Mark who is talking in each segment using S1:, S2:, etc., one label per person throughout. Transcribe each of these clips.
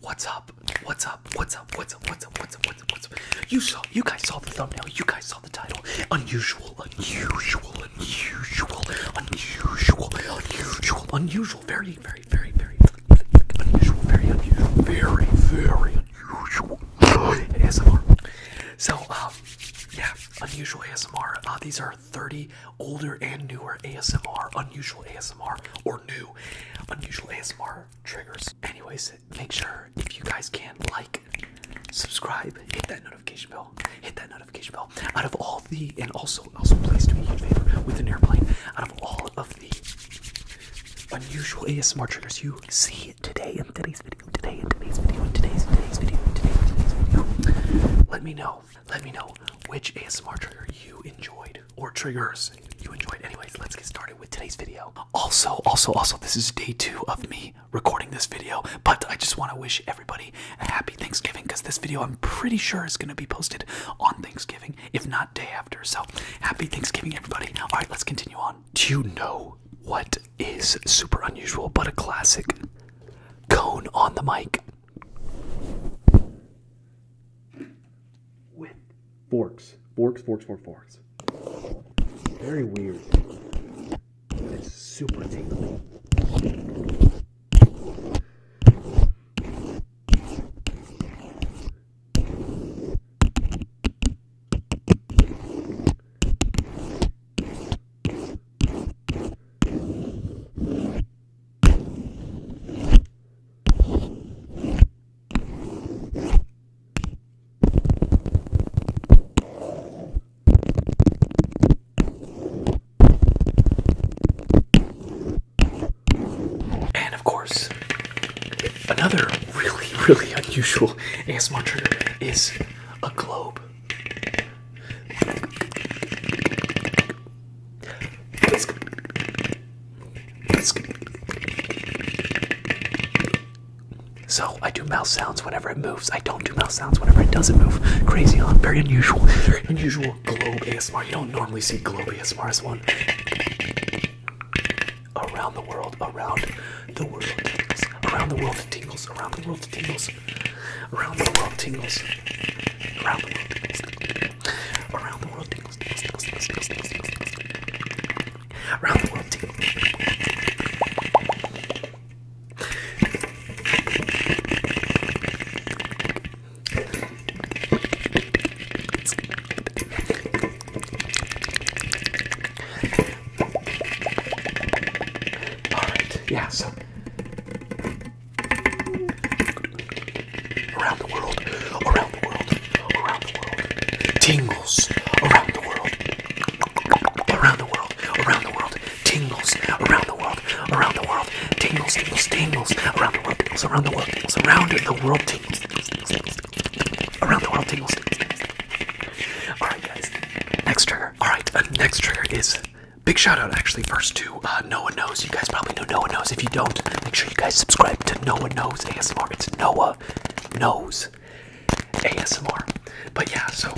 S1: What's up? What's up? What's up? What's up? What's up? What's up? What's up? What's up? You saw. You guys saw the thumbnail. You guys saw the title. Unusual. Unusual. Unusual. Unusual. Unusual. Unusual. Very, very, very, very unusual. Very unusual. Very, very unusual. ASMR. So, um, yeah, unusual ASMR. Uh, these are 30 older and newer ASMR, unusual ASMR, or or new unusual ASMR triggers. Anyways, make sure if you guys can like, subscribe, hit that notification bell, hit that notification bell. Out of all the and also also please do me a huge favor with an airplane. Out of all of the unusual ASMR triggers you see today in today's video, today in today's video, in today's today's video, today in today's video, let me know. Let me know which ASMR trigger you enjoyed or triggers you enjoyed. Anyways, let's get started with today's video. Also, also, also, this is day two of me recording this video, but I just want to wish everybody a happy Thanksgiving because this video I'm pretty sure is going to be posted on Thanksgiving, if not day after. So happy Thanksgiving, everybody. All right, let's continue on. Do you know what is super unusual but a classic? Cone on the mic forks. Forks, forks, forks, forks. Very weird. It's super tingly. And of course, another really, really unusual ASMR trigger is a globe. So I do mouth sounds whenever it moves. I don't do mouth sounds whenever it doesn't move. Crazy, huh? Very unusual. Very unusual globe ASMR. You don't normally see globe ASMR as one. Around the world, around the world Around the world tingles. Around the world tingles. Around the world tingles. Around the world tingles. Around the world Around the world yeah, so around the world, around the world, around the world, tingles around the world, around the world, around the world, tingles around the world, around the world, tingles, tingles, tingles around the world, tingles around the world, tingles around the world, tingles, around the world, tingles. All right, guys. Next trigger. All right, uh, next trigger is big shout out actually first to uh, no One Knows. You guys probably know No One Knows. If you don't, make sure you guys subscribe to No One Knows ASMR. It's Noah Knows ASMR. But yeah, so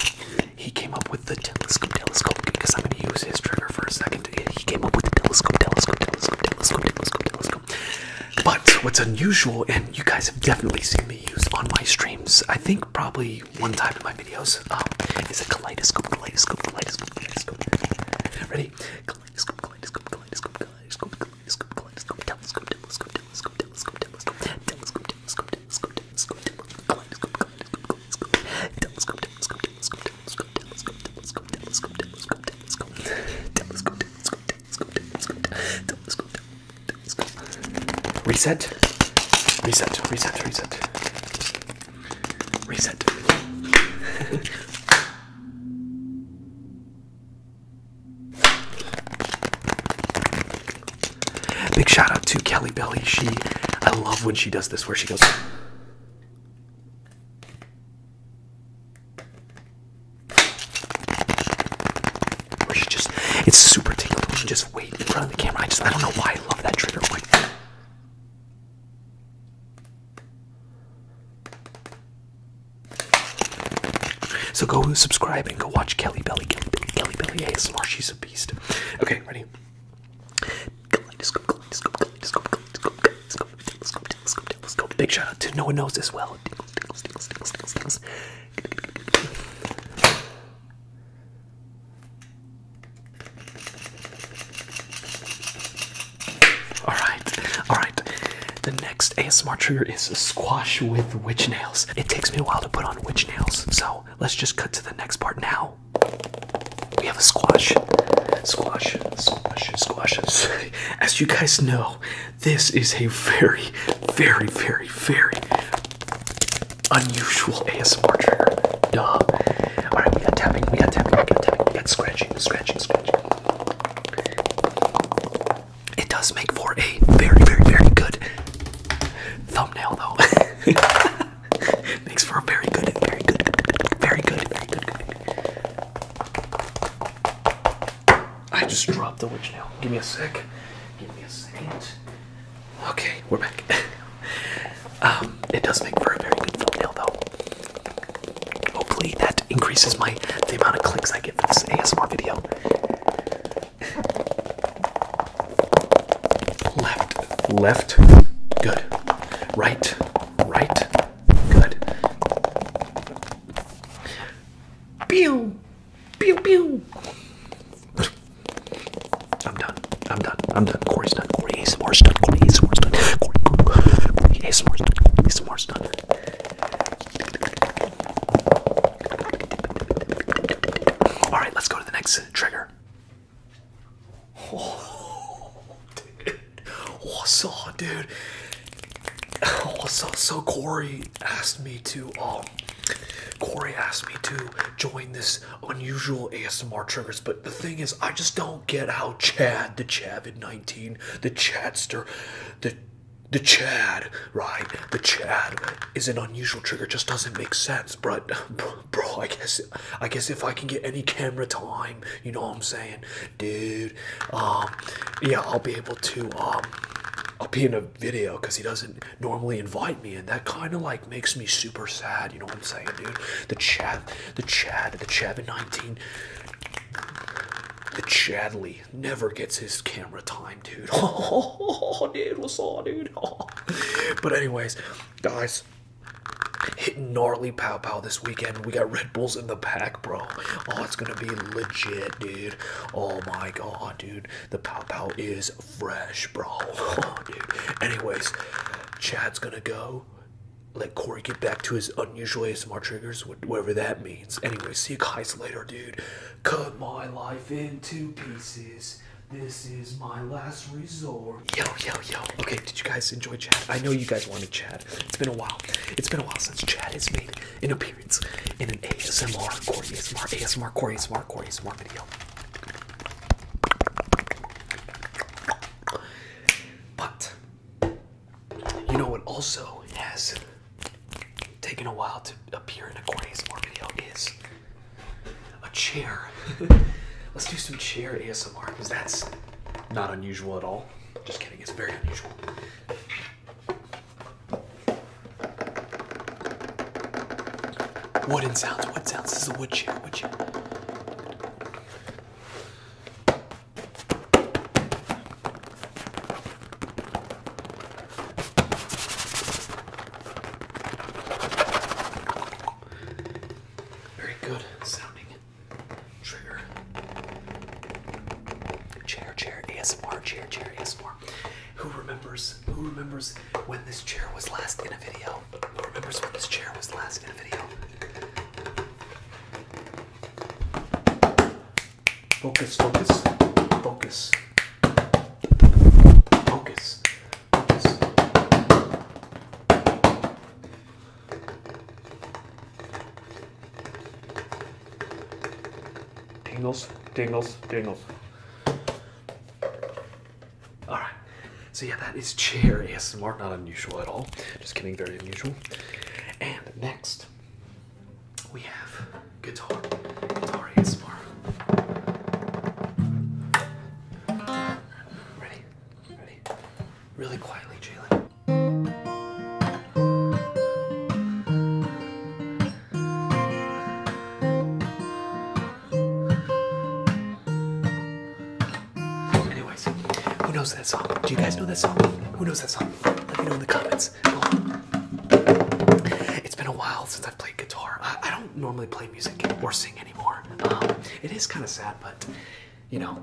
S1: he came up with the telescope, telescope, because I'm going to use his trigger for a second. He came up with the telescope, telescope, telescope, telescope, telescope, telescope. But what's unusual, and you guys have definitely seen me use on my streams, I think probably one time in my videos, um, is a kaleidoscope, kaleidoscope, kaleidoscope, kaleidoscope. Ready? Kaleidoscope, kaleidoscope, kaleidoscope, kaleidoscope, kaleidoscope, kaleidoscope, telescope, telescope, telescope, telescope, telescope, telescope, telescope, telescope, telescope, kaleidoscope, kaleidoscope, telescope, telescope, telescope, telescope, telescope, telescope, telescope, telescope, telescope, telescope, telescope, telescope, telescope, telescope. Reset. Reset. Reset. Reset. Reset. Big shout out to Kelly Belly. She, I love when she does this where she goes. Where she just, it's super tingle. She just wait in front of the camera. I just, I don't know why I love that trigger point. So go subscribe and go watch Kelly Belly. Kelly Belly, Kelly Belly ASMR. She's a beast. Okay, ready? Big shout out to no one knows this well. Alright, alright. The next ASMR trigger is squash with witch nails. It takes me a while to put on witch nails, so let's just cut to the next part now. We have a squash. Squash, squash, squashes. As you guys know, this is a very, very, very, very unusual ASMR trigger. Duh. we got tapping, we got tapping, we got tapping, we got scratching, scratching, scratching. It does make for a very, very, very good thumbnail, though. Makes for a very good, very good, very good, very good, I just dropped the witch nail. Give me a sec. Give me a second. Okay, we're back. um, it does make for a very good thumbnail, though. Hopefully that increases my the amount of clicks I get for this ASMR video. Left, left, good. Right, right, good. Pew, pew, pew. I'm done. I'm done. I'm done. Corey's done. Corey ASMR stun, Corey ASMR stun, Corey, Corey, Corey ASMR stun, Corey ASMR stun. Alright, let's go to the next trigger. Oh, dude. What's oh, up, dude? What's oh, up? So, so Corey asked me to, um, Corey asked me to join this unusual ASMR triggers, but the thing is, I just don't get how Chad, the Chad 19, the Chadster, the the Chad, right? The Chad is an unusual trigger. Just doesn't make sense, but bro, I guess I guess if I can get any camera time, you know what I'm saying, dude. Um, yeah, I'll be able to um, I'll be in a video because he doesn't normally invite me, and that kind of like makes me super sad. You know what I'm saying, dude? The Chad, the Chad, the Chad in 19. The Chadley never gets his camera time, dude. Oh, dude, what's on, dude? But anyways, guys, hitting gnarly pow pow this weekend. We got Red Bulls in the pack, bro. Oh, it's gonna be legit, dude. Oh my god, dude, the pow pow is fresh, bro. Oh, dude. Anyways, Chad's gonna go let Corey get back to his unusual ASMR triggers, whatever that means. Anyway, see you guys later, dude. Cut my life into pieces. This is my last resort. Yo, yo, yo. Okay, did you guys enjoy Chad? I know you guys wanted chat. It's been a while. It's been a while since Chad has made an appearance in an ASMR, Corey ASMR, ASMR, Corey ASMR, Corey ASMR video. But you know what also has taken a while to appear in a corny ASMR video is a chair. Let's do some chair ASMR because that's not unusual at all. Just kidding, it's very unusual. Wooden sounds, Wooden sounds. This is a wood chair, wood chair. Very good sounding trigger. Chair, chair, ASMR, chair, chair, ASMR. Who remembers? Who remembers when this chair was last in a video? Who remembers when this chair was last in a video? Focus, focus, focus. Focus, Dingles. Dingles. tingles, All right. So yeah, that is chair Yes, smart. not unusual at all. Just kidding, very unusual. And next, we have guitar. Guitar ASMR. Ready? Ready? Really quietly, Jalen. Anyways, who knows that song? Do you guys know that song? Who knows that song? Let me know in the comments. It's been a while since I've played guitar. I, don't normally play music or sing anymore. Um, it is kind of sad, but you know,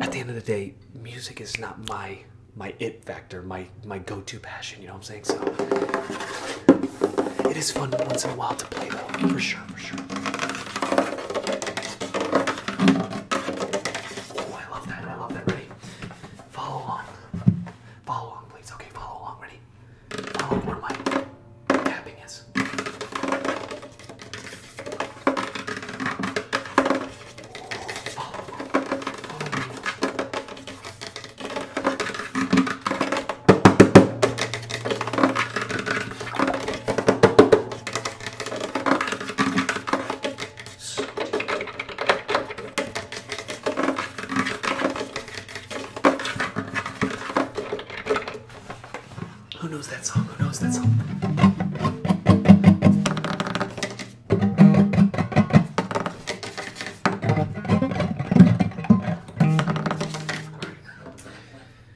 S1: at the end of the day, music is not my my it factor, my my go-to passion. You know what I'm saying? So it is fun once in a while to play, though, for sure, for sure. Oh, I love that. I love that. Ready? Follow along. Follow along, please. Okay, follow along. Ready? Follow where my tapping is. Oh, who knows that song? Who knows that song?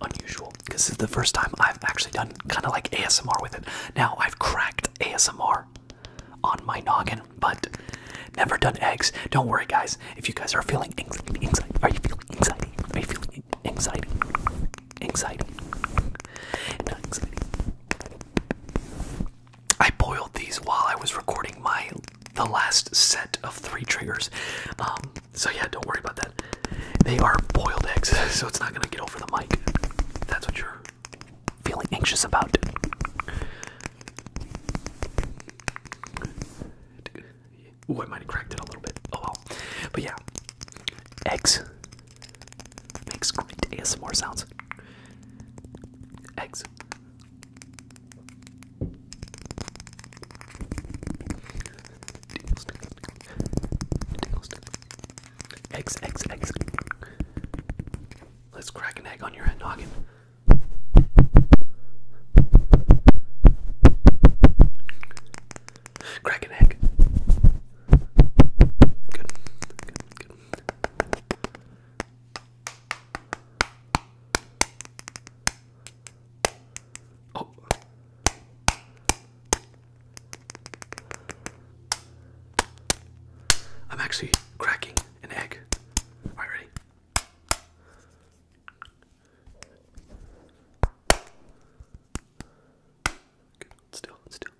S1: unusual because this is the first time I've actually done kind of like ASMR with it. Now I've cracked ASMR on my noggin, but never done eggs. Don't worry, guys. If you guys are feeling anxiety, are you feeling anxiety? Are you feeling anxiety? Anxiety. Anxiety. I boiled these while I was recording my the last set of three triggers. Um, so yeah, don't worry about that. They are boiled eggs, so it's not gonna get over the mic. that's what you're feeling anxious about. Ooh, I might have cracked it a little bit. Oh well. But yeah. Eggs. Makes great ASMR sounds. Eggs. Eggs, eggs, eggs. Let's crack an egg on your head noggin. Crack an egg. Good. Good. Good. Oh. I'm actually cracking an egg. All right, ready? still, still.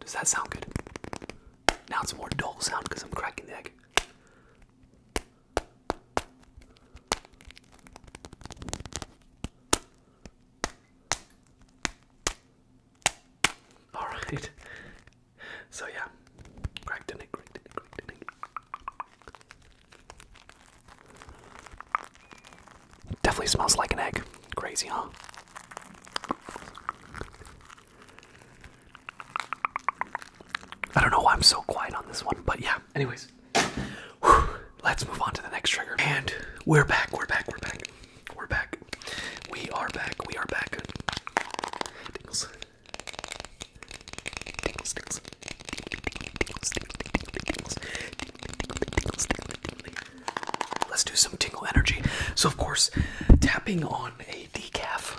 S1: Does that sound good? Now it's more dull sound because I'm cracking the egg. All right. So yeah, cracked in it, Definitely smells like an egg. Crazy, huh? I don't know why I'm so quiet on this one, but yeah. Anyways, let's move on to the next trigger. And we're back, we're back, we're back, we're back. We are back, we are back. Let's do some tingle energy. So, of course, tapping on a decaf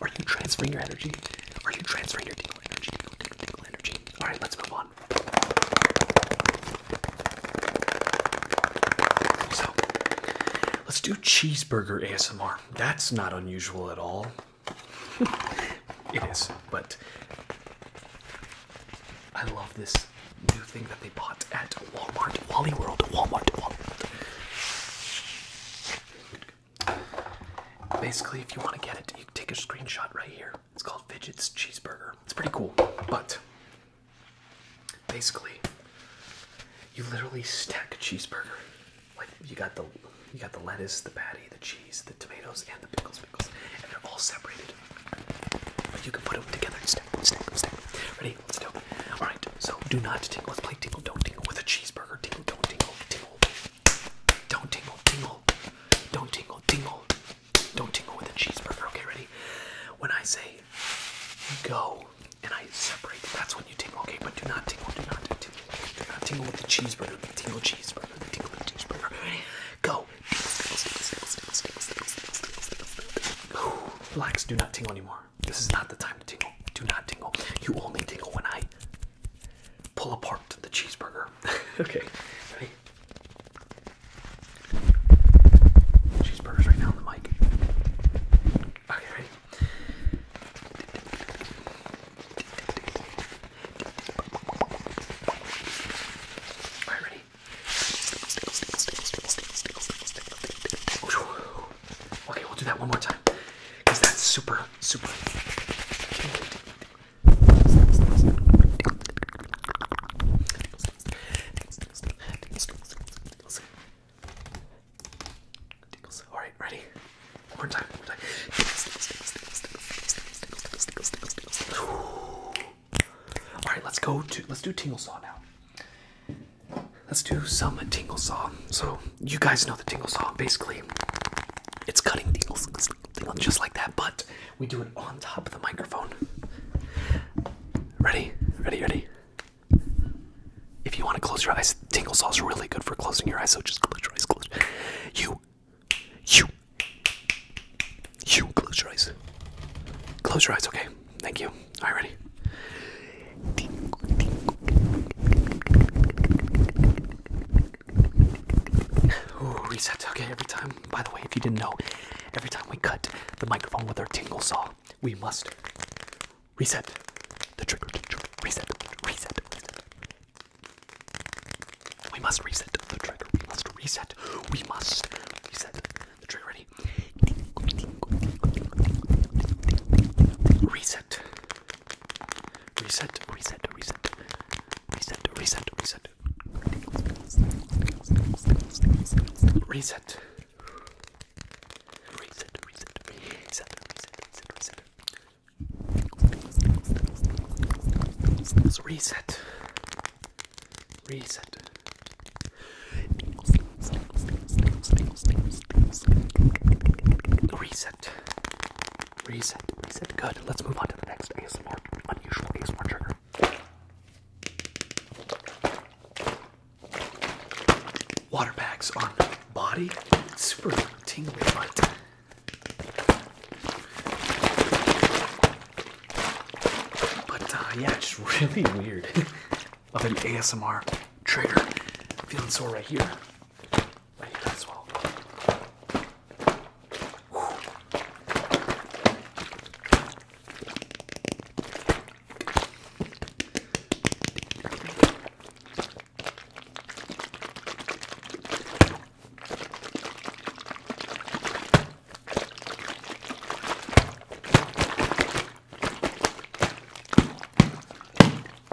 S1: Are you transferring your energy? Are you transferring your tingle energy? All right, let's move on. So, let's do cheeseburger ASMR. That's not unusual at all. it is, but I love this new thing that they bought at Walmart, Wally World, Walmart, Walmart. Basically, if you want to get it, you take a screenshot right here. It's called Fidgets Cheeseburger. It's pretty cool, but basically, you literally stack a cheeseburger. Like you got the you got the lettuce, the patty, the cheese, the tomatoes, and the pickles, pickles, and they're all separated. But you can put them together and stack, stack, stack. Ready? Let's do. It. All right. So do not tingle. Let's play tingle, don't tingle with a cheeseburger. Tingle, don't tingle, tingle. Don't tingle, tingle. Don't tingle, tingle. Don't tingle with a cheeseburger. Okay, ready? When I say go and I separate, that's when you tingle, okay? But do not tingle, do not do tingle. Do not tingle with the cheeseburger, the tingle cheeseburger, the tingle the cheeseburger. Go. Relax, do not tingle anymore. This is not the time to tingle. Do not tingle. You only tingle when I pull apart the cheeseburger. okay, ready? Cheeseburgers right now on the mic. Okay, ready? ready? Okay, we'll do that one more time. Because that's super, super. All right, ready? One more time. All right, let's go to let's do tingle saw now. Let's do some tingle saw. So you guys know the tingle saw. Basically, it's cutting tingles just like that, but we do it on top of the microphone. Ready? Ready? Ready? If you want to close your eyes, tingle saw is really good for closing your eyes. So just close your eyes. Close. You, you, you. Close your eyes. Close your eyes. Okay. Thank you. All right. Ready? Ooh, reset. Okay, every time. By the way, if you didn't know, every time we cut the microphone with our tingle saw, we must reset the trigger. trigger reset, reset, reset. We must reset the trigger. We must reset. We must reset the trigger. Ready? Reset. Reset, reset, reset. Reset, reset, reset. Reset. Reset, reset, reset, reset, reset. Let's reset. Reset. Reset. Reset, reset. Good. Let's move on to the next ASMR, unusual ASMR trigger. Water bags on body, super tingly, but but uh, yeah, it's really weird. of an ASMR trigger. Feeling sore right here. I need that as well.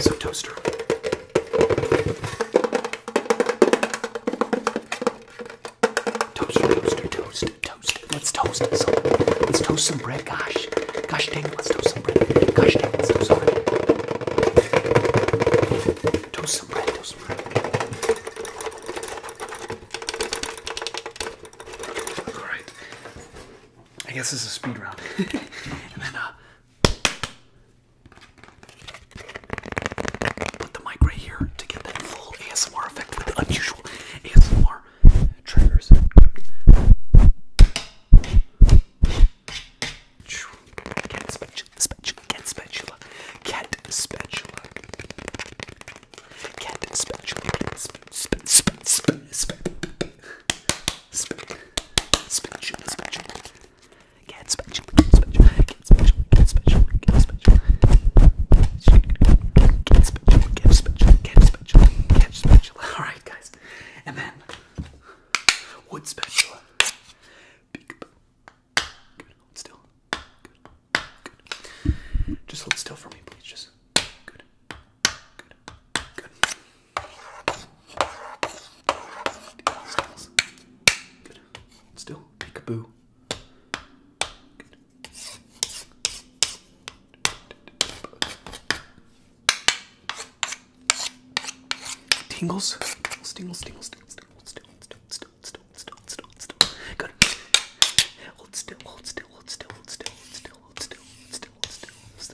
S1: So toaster. Toaster, toaster, toast, toast. Let's toast some. Let's toast some bread. Gosh, gosh dang it, let's toast some bread. Gosh dang it, let's toast some bread. Toast some bread, toast some bread. All right. I guess this is a speed round. and then uh, put the mic right here to get that full ASMR effect with unusual ASMR triggers. Cat spatula, spatula, cat spatula, cat spatula, cat spatula, spatula, spatula, spatula, spatula, spatula, spatula, spatula. Get spatula, spatula, get spatula, get spatula, get spatula. Get spatula, get spatula, get spatula, get spatula. All right, guys, and then wood spatula. Good. Hold still. Good. Good. Just hold still for me, please. Just good. Good. Still. Peekaboo. Good. still, hold still, hold still, hold still, hold still, hold still, hold still, hold still, hold still, still, still, still, still, still, still, still, still, still,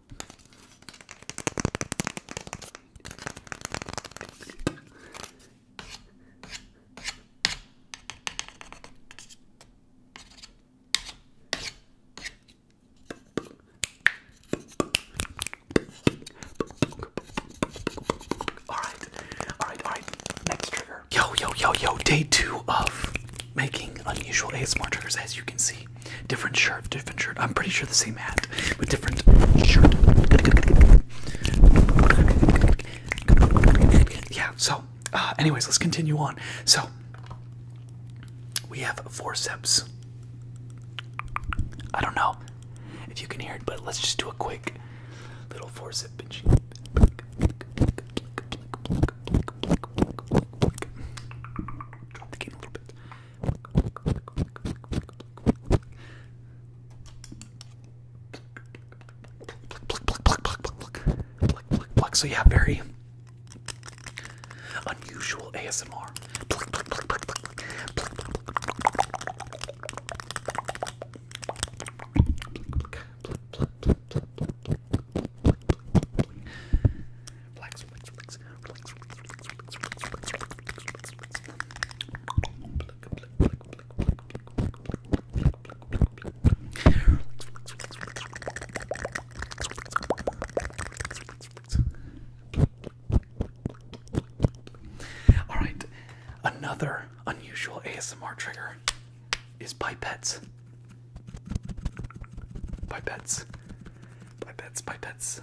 S1: Alright, alright, alright. Next trigger. Yo, yo, yo, yo. Day two of making unusual ASMR triggers, as you can see. Different shirt, different shirt. I'm pretty sure the same hat, but different shirt. Yeah, so, uh, anyways, let's continue on. So, we have forceps. I don't know if you can hear it, but let's just do a quick little forcep pinching. So yeah, very unusual ASMR. Black all right, another unusual ASMR trigger is pipettes. Pipettes. Pipettes, pipettes.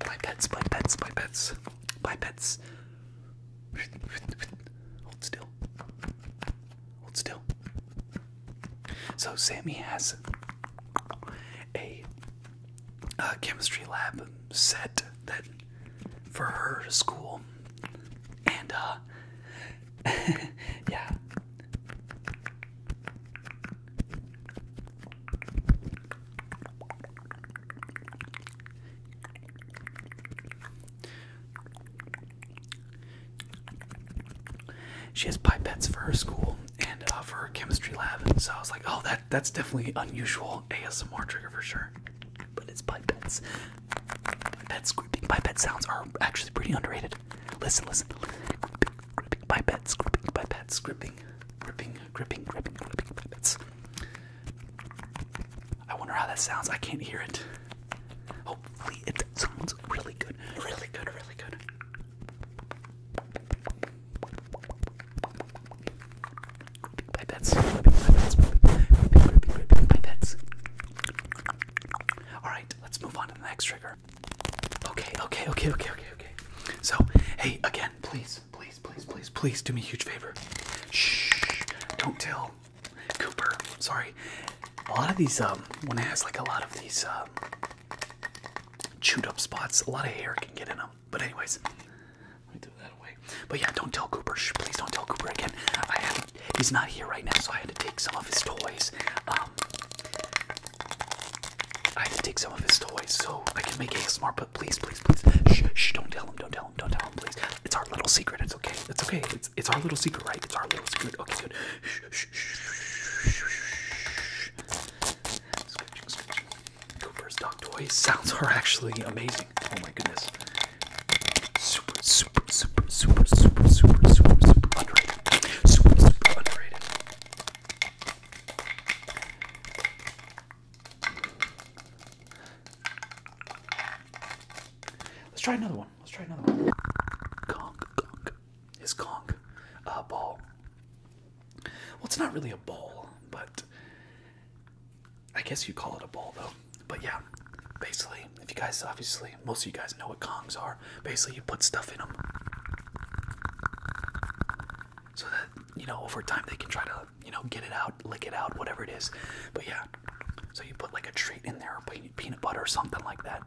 S1: Pipettes, pipettes, pipettes. Pipettes. Hold still. Hold still. So Sammy has a, a chemistry lab set that for her school, and uh, yeah. She has pipettes for her school and uh, for her chemistry lab, so I was like, "Oh, that that's definitely unusual ASMR trigger for sure." But it's pipettes. Pets grouping by pet sounds are actually pretty underrated. Listen, listen. Gripping, gripping by pets, gripping by pets, gripping, gripping, gripping, gripping, I wonder how that sounds. I can't hear it. Hopefully, it sounds really good. Really good, really good. Gripping by pets, gripping by pets, all right, let's move on to the next trigger. Okay, okay, okay, okay, okay, okay. So, hey, again, please, please, please, please, please do me a huge favor. Shh, don't tell Cooper. Sorry. A lot of these, um, when it has like a lot of these, um, chewed up spots, a lot of hair can get in them. But anyways, let me do that away. But yeah, don't tell Cooper. please don't tell Cooper again. I haven't he's not here right now, so I had to take some of his toys. Um, I had to take some of his toys so I can make ASMR. But please, please, please, shh, shh, don't tell him, don't tell him, don't tell him, please. It's our little secret. It's okay. It's okay. It's it's our little secret, right? It's our little secret. Okay, good. Shh, shh, shh, shh, shh. Scratching, scratching. Cooper's dog toys. Sounds are actually amazing. Oh my goodness. Super, super, super, super, super, super, super, super underrated. Super, super underrated. Let's try another one. Let's try another one. Kong, Kong. Is Kong a ball? Well, it's not really a ball, but I guess you call it a ball though. But yeah, basically, if you guys obviously, most of you guys know what Kongs are. Basically, you put stuff in them so that, you know, over time they can try to, you know, get it out, lick it out, whatever it is. But yeah, so you put like a treat in there, peanut butter or something like that.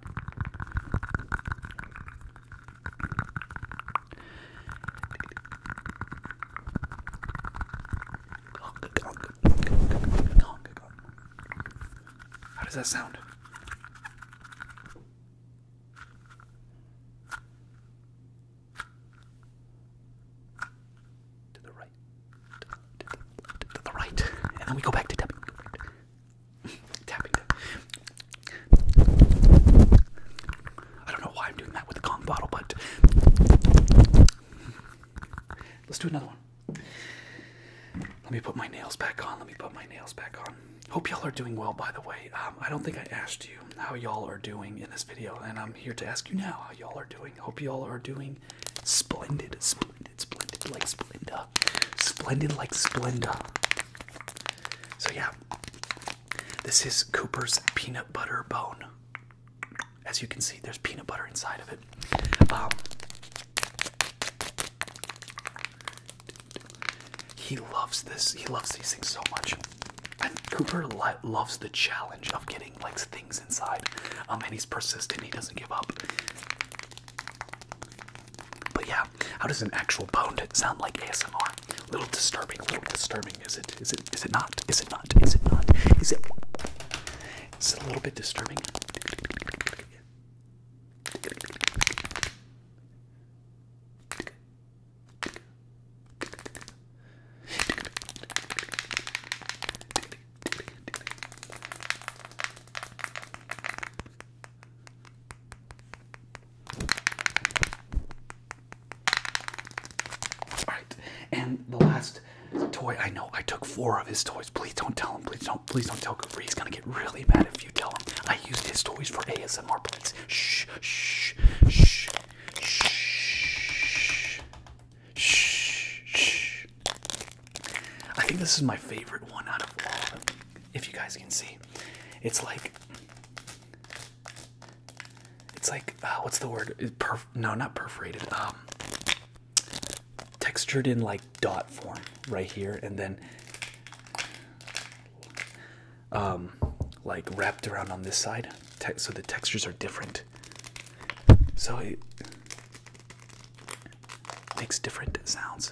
S1: How does that sound? To the right. To the, right. And then we go back to tapping. tapping. I don't know why I'm doing that with the Kong bottle, but let's do another one. Let me put my nails back on. Let me put my nails back on. Hope y'all are doing well, by the way. Um, I don't think I asked you how y'all are doing in this video, and I'm here to ask you now how y'all are doing. Hope y'all are doing splendid, splendid, splendid, like Splenda. Splendid, like Splenda. So, yeah, this is Cooper's peanut butter bone. As you can see, there's peanut butter inside of it. Um, he loves this. He loves these things so much. And Cooper loves the challenge of getting like things inside, um, and he's persistent. He doesn't give up. But yeah, how does an actual bone sound like ASMR? A little disturbing. A little disturbing. Is it? Is it? Is it not? Is it not? Is it not? Is it? It's a little bit disturbing. All right, and the last last toy. I know I took four of his toys. Please don't tell him. Please don't. Please don't tell Goofy. He's gonna get really mad if you tell him. I used his toys for ASMR plants. Shh. Shh. Shh. Shh. Shh. I think this is my favorite one out of all of them. If you guys can see, it's like. It's like uh, what's the word? Perf no, not perforated. Um, textured in like dot form right here and then um, like wrapped around on this side so the textures are different so it makes different sounds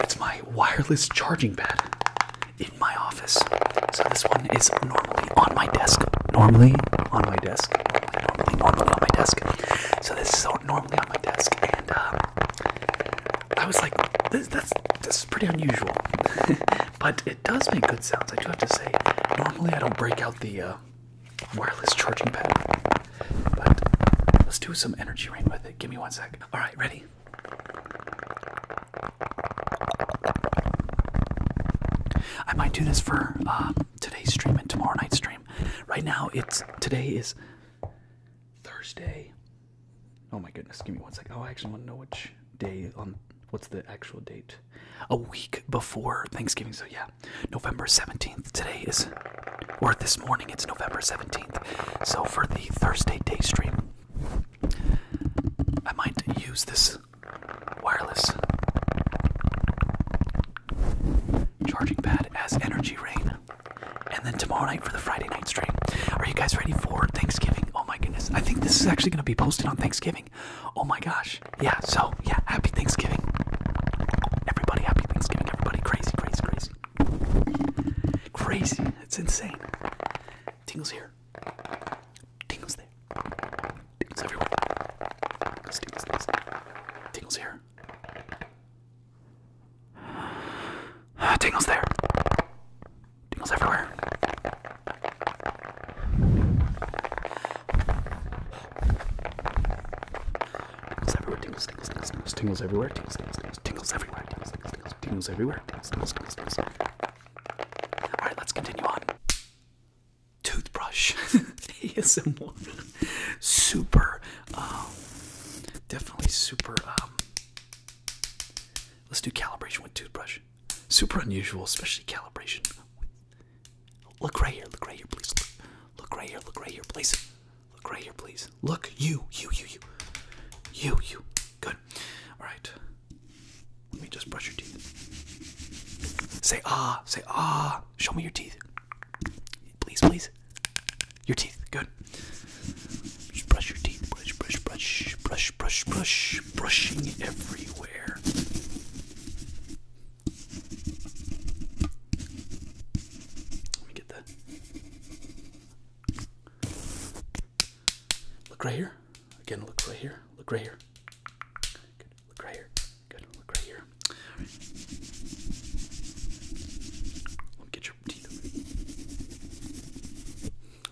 S1: It's my wireless charging pad in my office. So this one is normally on my desk. Normally on my desk. Normally, normally, on my desk. So this is normally on my desk, and um, I was like, this, that's this is pretty unusual, but it does make good sounds. I do have to say. Normally, I don't break out the. Uh, wireless charging pad. But let's do some energy rain with it. Give me one sec. All right, ready? I might do this for um, today's stream and tomorrow night's stream. Right now, it's today is Thursday. Oh my goodness, give me one sec. Oh, I actually want to know which day on what's the actual date? A week before Thanksgiving. So yeah, November 17th. Today is, or this morning, it's November 17th. So for the Thursday day stream, I might use this wireless charging pad as energy rain. And then tomorrow night for the Friday night stream. Are you guys ready for Thanksgiving? Oh my goodness. I think this is actually going to be posted on Thanksgiving. Oh my gosh. Yeah, so yeah, happy Thanksgiving. Everybody, happy Thanksgiving everybody crazy, crazy, crazy. Crazy. It's insane. Tingles here. Tingles there. Tingles everywhere. Tingles, Tingles here. Tingles there. Tingles everywhere. Tingles everywhere, tingles, tingles, tingles, tingles, tingles everywhere, tingles, tingles, tingles, tingles everywhere, tingles, tingles, tingles, tingles everywhere, tingles, tingles, tingles, tingles. All right, let's continue on. Toothbrush, ASMR, super, um, definitely super. Um, let's do calibration with toothbrush. Super unusual, especially calibration. Look right here, look right here, please. Look, look right here, look right here, please. Look right here, please. Look, you, you, you, you. You, you. Good. Alright. Let me just brush your teeth. Say ah, say ah. Show me your teeth. Please, please. Your teeth. Good. Just brush your teeth. Brush, brush, brush, brush, brush, brush. Brushing everywhere get that. Look right here. Again, look right here. Look right here. Good. Look right here. Good. Look right here. All right. Let me get your teeth.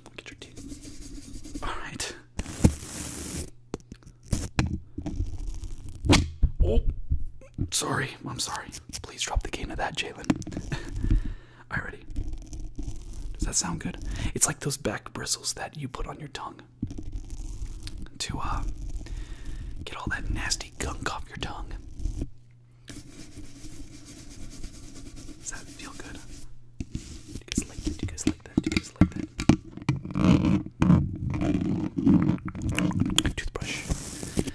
S1: Let me get your teeth. All right. Oh, Sorry, I'm sorry. Please drop the game to that, Jalen. All righty. Does that sound good? It's like those back bristles that you put on your tongue to uh, get all that nasty gunk off your tongue. Does that feel good? Do you guys like that? Do you guys like that? Do you guys like that? Toothbrush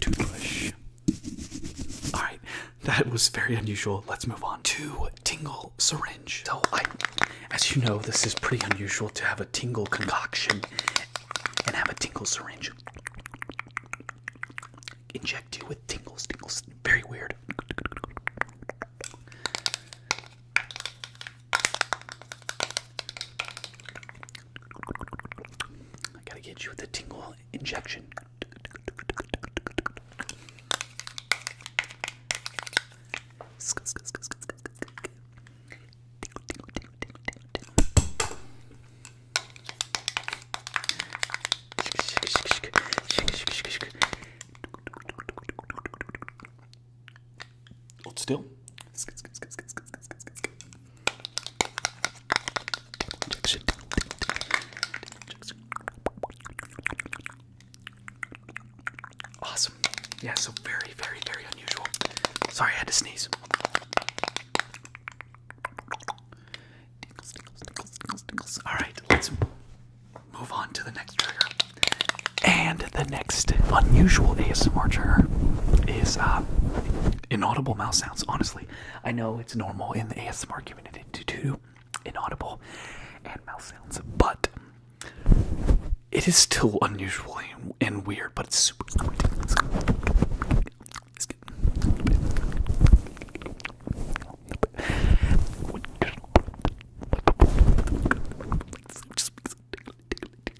S1: toothbrush. Alright, that was very unusual. Let's move on to tingle syringe. So I as you know, this is pretty unusual to have a tingle concoction and have a tingle syringe. Inject you with tingles, tingles. Very weird. I gotta get you with the tingle injection. Hold still. Awesome. Yeah, so very, very, very unusual. Sorry, I had to sneeze. All right, let's move on to the next trigger. And the next unusual ASMR trigger is uh, inaudible mouse sounds. Honestly, I know it's normal in the ASMR community to do inaudible and mouse sounds, but it is still unusual and, and weird. But it's super.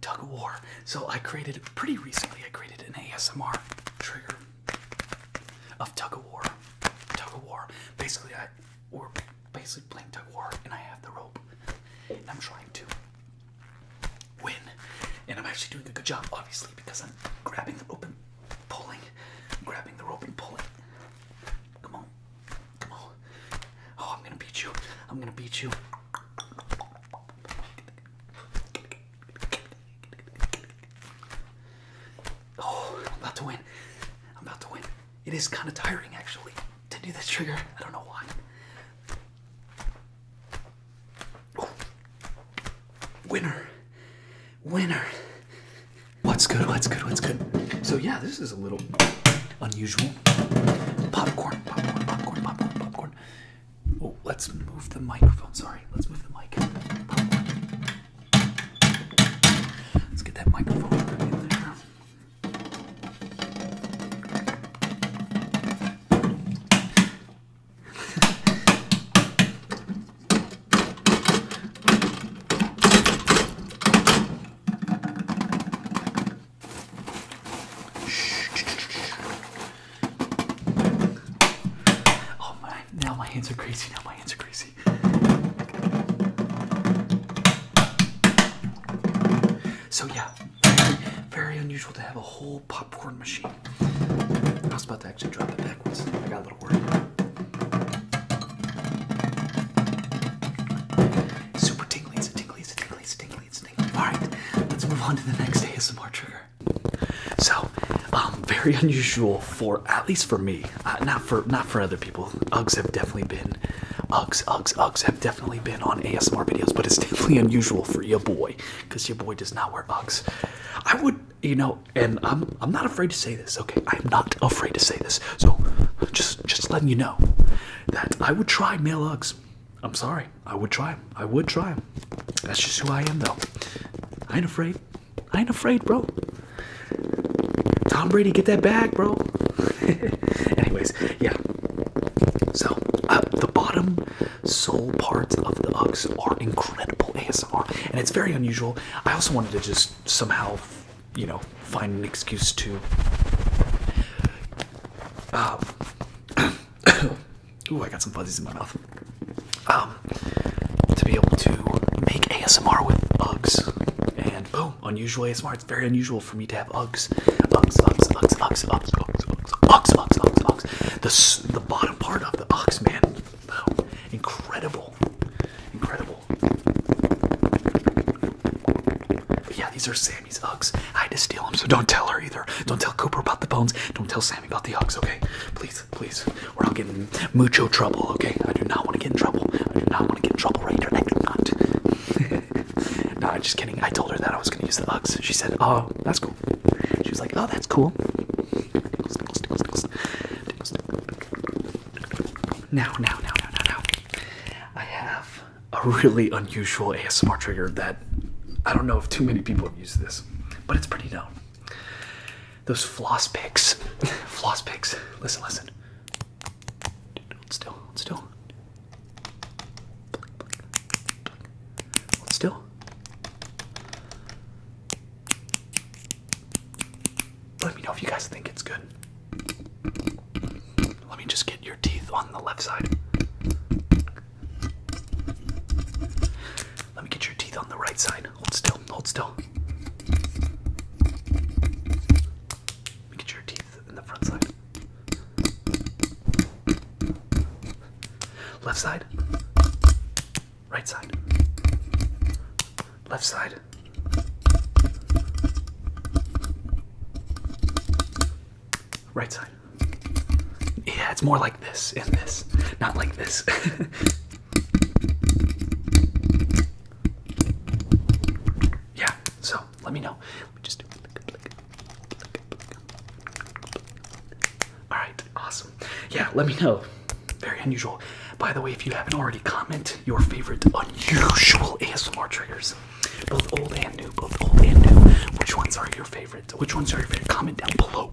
S1: Tug of War. So I created pretty recently. I created an ASMR trigger of Tug of War. Tug of War. Basically, I basically playing tug of war, and I have the rope, and I'm trying to win, and I'm actually doing a good job, obviously, because I'm grabbing the rope and pulling, grabbing the rope and pulling. Come on, come on. Oh, I'm gonna beat you. I'm gonna beat you. Oh, I'm about to win. I'm about to win. It is kind of tiring actually to do this trigger. I don't know why. Winner. Winner. What's good? What's good? What's good? So yeah, this is a little unusual. Popcorn, popcorn, popcorn, popcorn, popcorn. Oh, let's move the microphone. Sorry, let's move the mic. Let's get that microphone in there. Oh my, now my hands are crazy, now my hands are crazy. So yeah, very, unusual to have a whole popcorn machine. I was about to actually drop it backwards. I got a little worried. Super tinglies, tinglies, tinglies, tinglies, tinglies. All right, let's move on to the next day. more trigger. So, um, very unusual for at least for me, uh, not for not for other people. Uggs have definitely been in. Uggs, Uggs, have definitely been on ASMR videos, but it's definitely unusual for your boy, because your boy does not wear Uggs. I would, you know, and I'm I'm not afraid to say this, okay? I'm not afraid to say this. So just just letting you know that I would try male Uggs. I'm sorry. I would try. I would try. That's just who I am though. I ain't afraid. I ain't afraid, bro. Tom Brady, get that back, bro. Anyways, yeah. So, uh, the bottom sole parts of the Uggs are incredible ASMR, and it's very unusual. I also wanted to just somehow, you know, find an excuse to. Um, ooh, I got some fuzzies in my mouth. Um, to be able to make ASMR with Uggs, and boom, know, unusual ASMR. It's very unusual for me to have Uggs. Uggs, Uggs, Uggs, Uggs, Uggs, Uggs, Uggs, Uggs, Uggs, Uggs. The, the bottom part of the Uggs, man. Wow. Incredible. Incredible. But yeah, these are Sammy's Uggs. I had to steal them, so don't tell her either. Don't tell Cooper about the bones. Don't tell Sammy about the Uggs, okay? Please, please. Or I'll get in mucho trouble, okay? I do not want to get in trouble. I do not want to get in trouble right here. I do not. no, I'm just kidding. I told her that I was gonna use the Uggs. She said, "Oh, that's cool." She was like, "Oh, that's cool." Now, now, now, now, now, now. I have a really unusual ASMR trigger that I don't know if too many people have used this, but it's pretty known. Those floss picks, floss picks. Listen, listen. Hold still, hold still. Hold still. Let me know if you guys think it's good. Let me just get your teeth on the left side. Let me get your teeth on the right side. Hold still, hold still. Let me get your teeth Left side. Right side. Left side. Right side. Yeah, it's more like this in this, not like this. yeah, so let me know. All right, awesome. Yeah, let me know. Very unusual. By the way, if you haven't already, comment your favorite unusual ASMR triggers, both old and new, both old and new. Which ones are your favorites? Which ones are your favorite? Comment down below.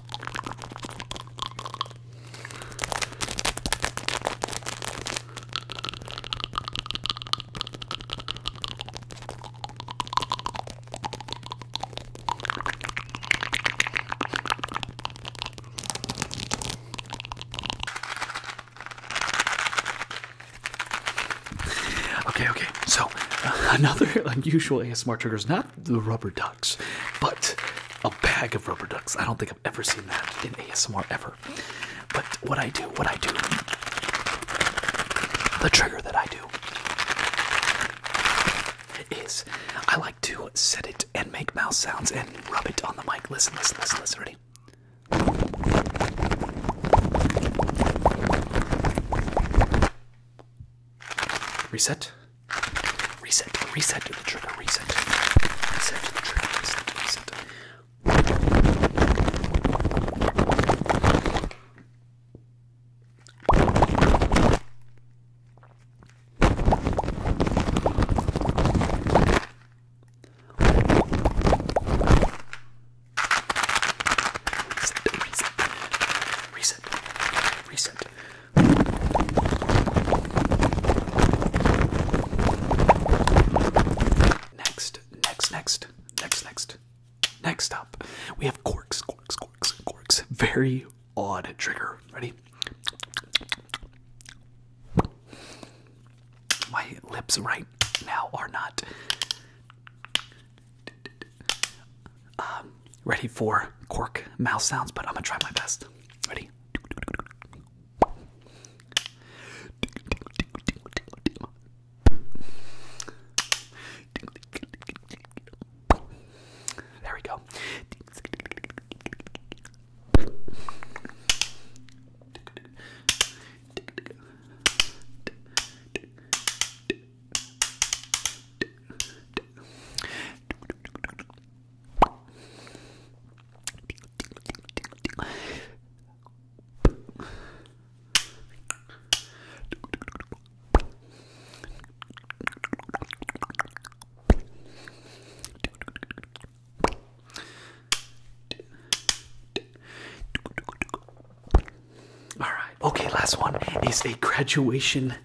S1: Okay, okay. So another unusual ASMR trigger is not not the rubber ducks, but a bag of rubber ducks. I don't think I've ever seen that in ASMR ever. But what I do, what I do, the trigger that I do is I like to set it and make mouse sounds and rub it on the mic. Listen, listen, listen, listen. Ready? Reset. Reset, reset to the trigger, reset. Reset to the trigger, reset, reset. Reset, reset, reset, reset. Next, next, next, next, next. Next up, we have corks, corks, corks, corks. Very odd trigger. Ready? My lips right now are not um, ready for cork mouth sounds, but I'm gonna try my best. Ready? There we go. All right. Okay, last one is a graduation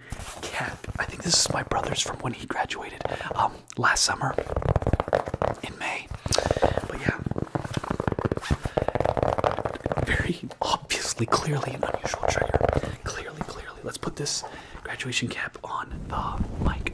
S1: cap. I think this is my brother's from when he graduated um, last summer in May. But yeah, very obviously, clearly an unusual trigger. Clearly, clearly. Let's put this graduation cap on the mic.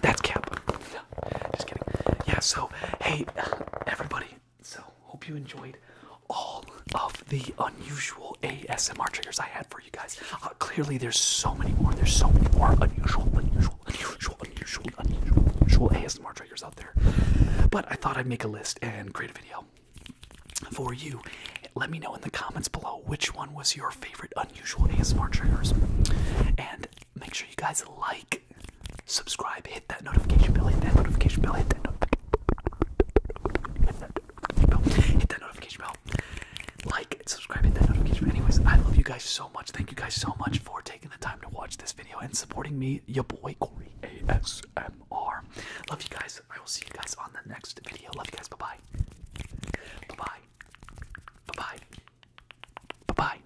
S1: That's Kappa. No, just kidding. Yeah, so hey everybody. So hope you enjoyed all of the unusual ASMR triggers I had for you guys. Uh, clearly there's so many more. There's so many more unusual, unusual, unusual, unusual, unusual, unusual ASMR triggers out there. But I thought I'd make a list and create a video for you. Let me know in the comments below which one was your favorite unusual ASMR triggers. And Make sure you guys like, subscribe, hit that notification bell, hit that notification bell, hit that notification bell, hit that notification bell. Like and subscribe, hit that notification bell. Anyways, I love you guys so much. Thank you guys so much for taking the time to watch this video and supporting me, your boy Corey ASMR. Love you guys. I will see you guys on the next video. Love you guys. Bye bye. Bye bye. Bye bye. Bye bye.